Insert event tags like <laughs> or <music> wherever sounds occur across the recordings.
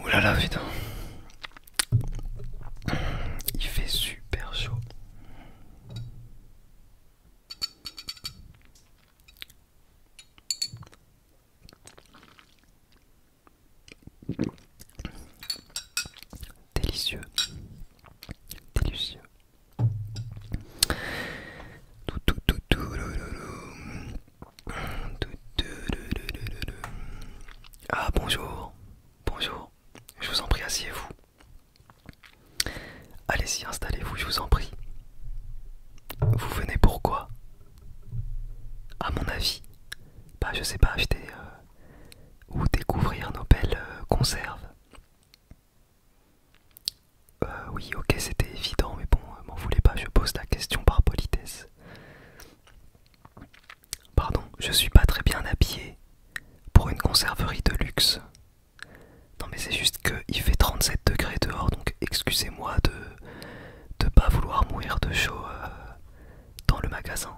Ouh là là, putain. Il fait super chaud. Délicieux. Délicieux. Tout, tout, tout, tout, tout, tout, tout. Ah bonjour, bonjour, je vous en prie, asseyez-vous. Allez-y, installez-vous, je vous en prie. Vous venez pourquoi À mon avis, bah je sais pas acheter euh, ou découvrir nos belles euh, conserves. Euh, oui, ok, c'était évident, mais bon, euh, m'en voulez pas, je pose la question par politesse. Pardon, je suis pas très bien habillé pour une conserverie de luxe. Non, mais c'est juste qu'il fait 37 degrés dehors, donc excusez-moi de pas vouloir mourir de chaud euh, dans le magasin.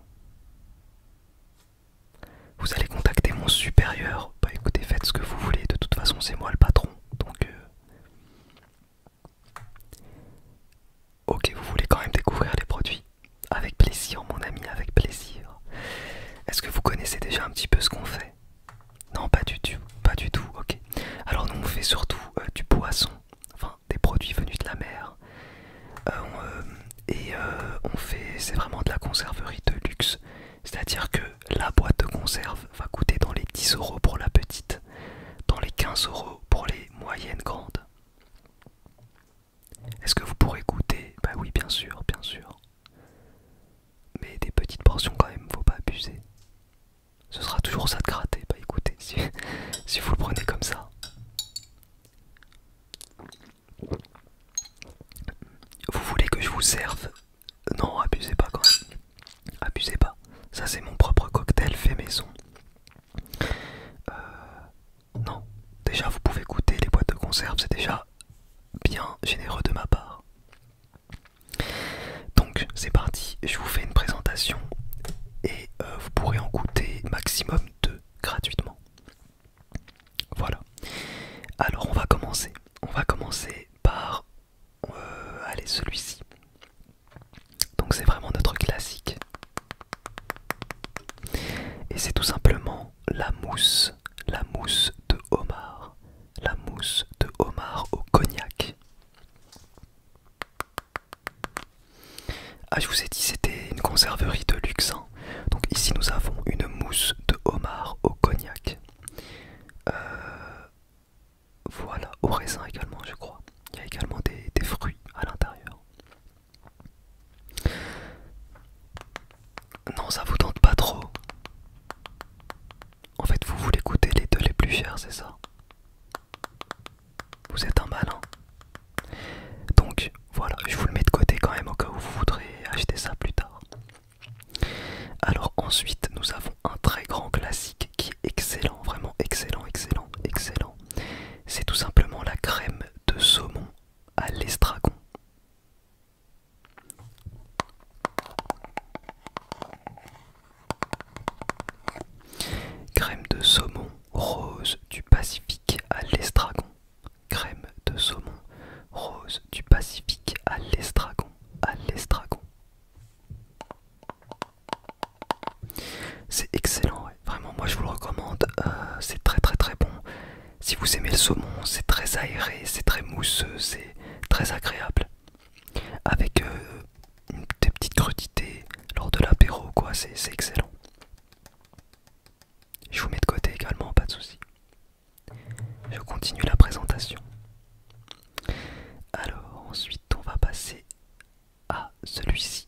Vous allez contacter mon supérieur. Bah écoutez, faites ce que vous voulez, de toute façon, c'est moi le patron, donc. Ok, vous voulez quand même découvrir les produits Avec plaisir, mon ami, avec plaisir. Est-ce que vous connaissez déjà un petit peu ce qu'on fait Non, pas du tout, pas du tout, ok. Alors, nous, on fait surtout euh, du poisson, enfin, des produits venus de la mer. Euh, euh, et on fait, c'est vraiment de la conserverie de luxe. C'est-à-dire que la boîte de conserve va coûter dans les 10 euros pour la petite, dans les 15 euros pour les moyennes grandes. Est-ce que vous pourrez goûter Bah oui, bien sûr, bien sûr. Mais des petites portions quand même, faut pas abuser. Ce sera toujours ça de gratter. Bah écoutez, <laughs> si vous le prenez comme ça. Vous voulez que je vous serve non, abusez pas quand même. Abusez pas. Ça, c'est mon propre cocktail fait maison. Euh, non, déjà, vous pouvez goûter les boîtes de conserve, c'est déjà bien généreux de ma part. Donc, c'est parti. Je vous fais une présentation et euh, vous pourrez en goûter maximum deux gratuitement. Voilà. Alors, on va commencer. On va commencer par euh, allez, celui-ci. Donc c'est vraiment notre classique. Et c'est tout simplement la mousse, la mousse de homard, la mousse de homard au cognac. Ah, je vous ai dit, c'était une conserverie de luxe. Hein. Donc ici nous avons une mousse de homard au cognac. Euh, voilà, au raisin également, je crois. Il y a également des, fruits à l'intérieur. Non, ça vous tente pas trop. En fait, vous voulez goûter les deux les plus chers, c'est ça Vous êtes un malin. Donc, voilà, je vous le mets de côté quand même au cas où vous voudrez acheter ça plus tard. Alors ensuite nous avons un très grand classique qui est excellent, vraiment excellent, excellent, excellent. C'est tout simplement la crème de saumon à l'estragon. Crème de saumon rose du Pacifique à l'estragon crème de saumon rose du Pacifique à l'estragon, à l'estragon. C'est excellent, vraiment moi je vous le recommande, euh, c'est très très très bon. Si vous aimez le saumon, c'est très aéré, c'est très mousseux, c'est très agréable. Avec euh, des petites crudités lors de l'apéro, quoi, c'est excellent. Je vous mets de côté également, pas de soucis. Je continue la présentation. Alors ensuite on va passer à celui-ci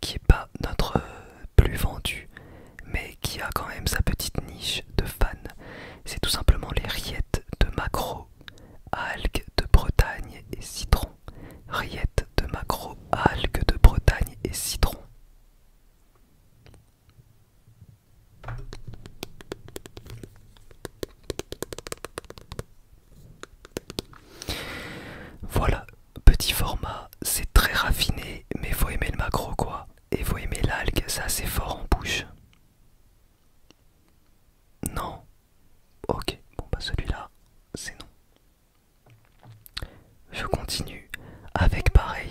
qui est pas notre euh, plus vendu mais qui a quand même sa petite niche de fans. C'est tout simplement les riettes de maquereau, algues de Bretagne et citron. Riettes de maquereau, algues de Bretagne et citron. Voilà, petit format, c'est très raffiné, mais faut aimer le macro quoi. Et faut aimer l'algue, ça c'est fort en bouche. Non. Ok, bon bah celui-là, c'est non. Je continue avec pareil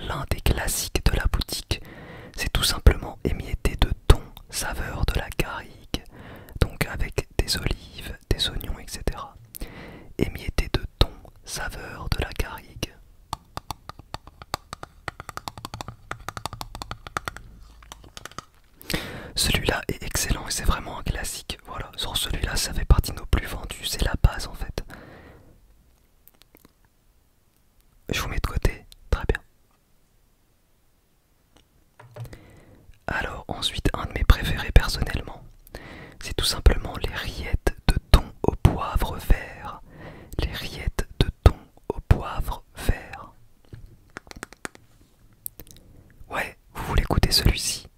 l'un des classiques de la boutique. C'est tout simplement émietté de thon, saveur de la garrigue, donc avec des olives, des oignons, etc. Émietté de thon, saveur de la garrigue. Celui-là est excellent et c'est vraiment un classique. Voilà, sans celui-là, ça fait partie de nos plus vendus. C'est la base en fait. Je vous mets de côté. Très bien. Alors, ensuite, un de mes préférés personnellement, c'est tout simplement les rillettes de thon au poivre vert. Les rillettes de thon au poivre vert. Ouais, vous voulez goûter celui-ci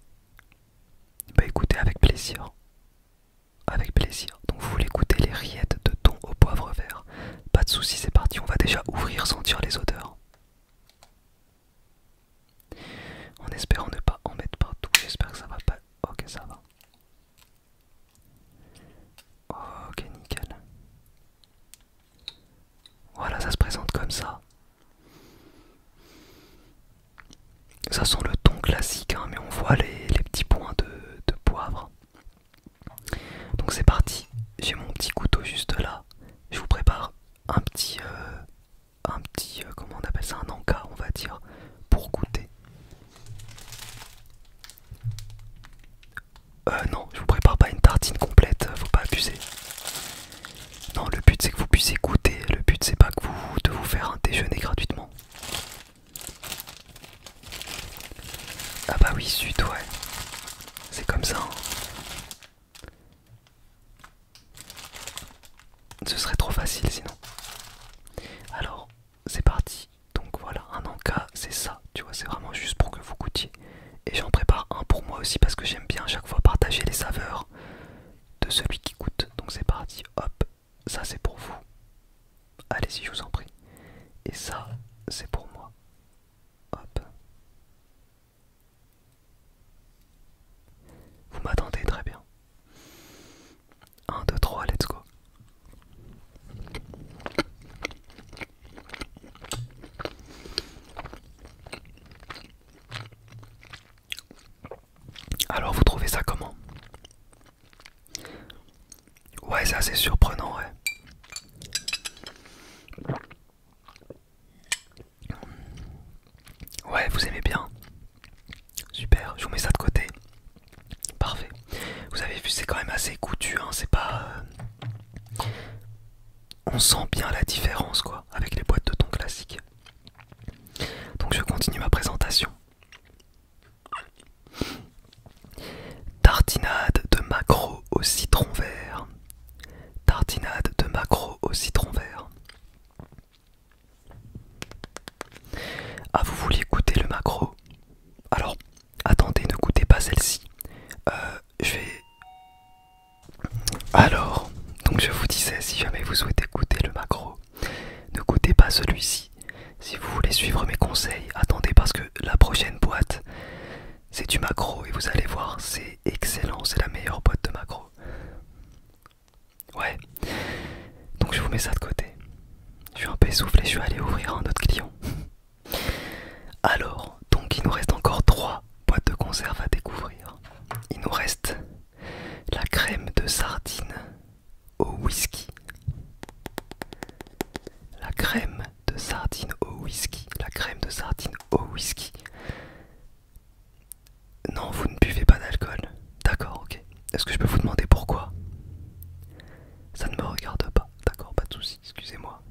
bah écoutez, avec plaisir. Avec plaisir. Donc vous voulez écouter les rillettes de thon au poivre vert. Pas de soucis, c'est parti, on va déjà ouvrir, sentir les odeurs. En espérant ne pas en mettre partout, j'espère que ça va pas... Ok, ça va. Ok, nickel. Voilà, ça se présente comme ça. Ça sent le ton classique, hein, mais on voit les, petits points de, poivre. Donc c'est parti, j'ai mon petit couteau juste là. Je vous prépare un petit, euh, un petit, euh, comment on appelle ça, un anka, on va dire, pour goûter. Euh, non, je vous prépare pas une tartine complète, faut pas abuser. Non, le but c'est que vous puissiez goûter. Le but c'est pas que vous de vous faire un déjeuner gratuitement. Ah bah oui, suite ouais. C'est comme ça. Hein. Ce serait trop facile sinon. Alors, c'est parti. Donc voilà, un encas, c'est ça. Tu vois, c'est vraiment juste pour que vous goûtiez. Et j'en prépare un pour moi aussi parce que j'aime bien à chaque fois partager les saveurs de celui qui coûte. Donc c'est parti, hop, ça c'est pour vous. allez si je vous en prie. Et ça, c'est pour moi. Hop. Vous m'attendez très bien. 1, 2, 3, let's go. Alors vous trouvez ça comment Ouais, c'est assez surprenant, ouais. Ouais, vous aimez bien. Super, je vous mets ça de côté. Parfait. Vous avez vu, c'est quand même assez coutu, hein, c'est pas... Euh, on sent bien la différence quoi avec les boîtes de thon classiques. Donc je continue ma présentation. Tartinade de maquereau au citron vert. Tartinade de maquereau au citron vert. Ah vous vouliez goûter le maquereau Alors attendez, ne goûtez pas celle-ci. Euh, je vais alors, donc je vous disais, si jamais vous souhaitez goûter le macro, ne goûtez pas celui-ci. Si vous voulez suivre mes conseils, attendez parce que la prochaine boîte, c'est du macro et vous allez voir, c'est excellent, c'est la meilleure boîte de macro. Ouais, donc je vous mets ça de côté. Je suis un peu essoufflé, je vais aller ouvrir un autre client. Alors, donc il nous reste encore trois boîtes de conserve à découvrir. Il nous reste la crème de sardine au whisky. La crème de sardine au whisky. La crème de sardine au whisky. Non, vous ne buvez pas d'alcool. D'accord, ok. Est-ce que je peux vous demander pourquoi Ça ne me regarde pas. D'accord, pas de soucis, excusez-moi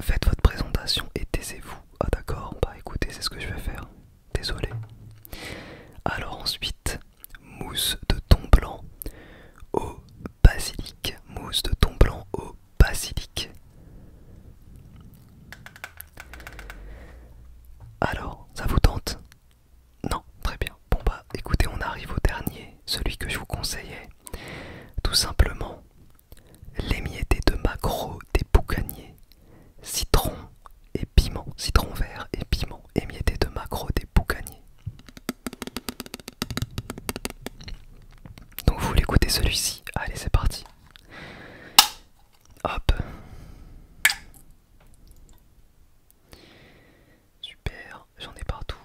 faites votre présentation et taisez-vous. Ah d'accord, bah écoutez, c'est ce que je vais faire. Désolé. Alors ensuite, mousse de thon blanc au basilic. Mousse de thon blanc au basilic. Alors, ça vous tente Non, très bien. Bon bah écoutez, on arrive au dernier, celui que je vous conseillais. Tout simplement, l'émietté de maquereau des boucaniers, citron et piment, citron vert et piment, émietté de maquereau des boucaniers. Donc vous voulez écouter celui-ci Allez, c'est parti. Hop. Super j'en ai partout.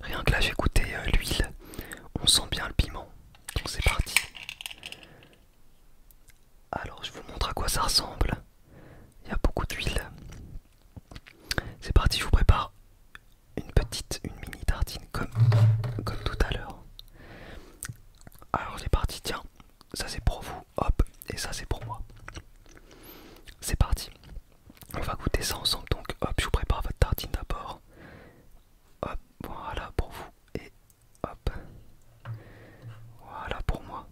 Rien que là j'ai goûté euh, l'huile, on sent bien le piment. Donc c'est parti. Alors je vous montre à quoi ça ressemble. Il y a beaucoup d'huile. C'est parti, je vous prépare une petite, une mini tartine comme, tout à l'heure. Alors c'est parti, tiens, ça c'est pour vous, hop, et ça c'est pour moi. C'est parti. On va goûter ça ensemble, donc hop, je vous prépare votre tartine d'abord. Hop, voilà pour vous, et hop, voilà pour moi.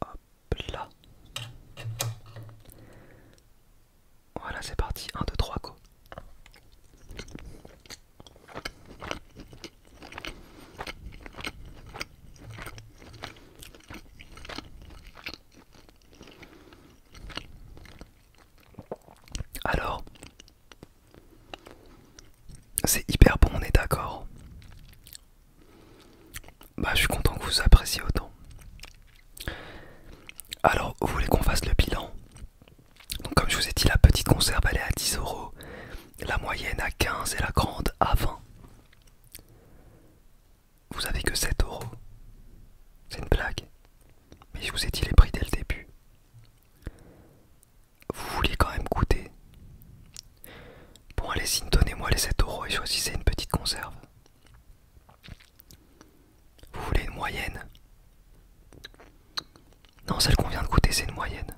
Hop là. Voilà, c'est parti. 1, 2, 3, go. Alors, c'est hyper bon, on est d'accord. Bah, je suis content que vous appréciez autant. Alors, vous voulez qu'on fasse le bilan Donc, comme je vous ai dit, la petite conserve elle est à 10 euros, la moyenne à 15 et la grande à 20. Vous avez que 7 euros. C'est une blague. Mais je vous ai dit les prix dès le début vous voulez quand même coûter. Bon, allez-y, donnez-moi les 7 euros et choisissez une petite conserve. Vous voulez une moyenne Non, celle qu'on vient de coûter, c'est une moyenne.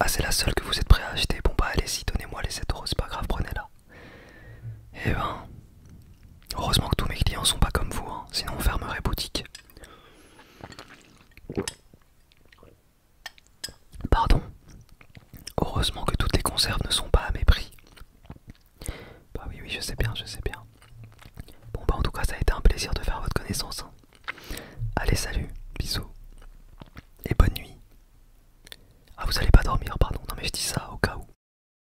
Ah, c'est la seule que vous êtes prêt à acheter. Bon, bah allez-y, donnez-moi les 7 euros, c'est pas grave, prenez-la. Eh ben, Heureusement que tous mes clients sont pas comme vous, hein, sinon on fermerait boutique. Pardon. Heureusement que toutes les conserves ne sont pas à mes prix. Bah oui, oui, je sais bien, je sais bien. Bon bah en tout cas, ça a été un plaisir de faire votre connaissance. Hein. Allez, salut, bisous. Et bonne nuit. Ah, vous allez pas dormir, pardon. Non mais je dis ça au cas où.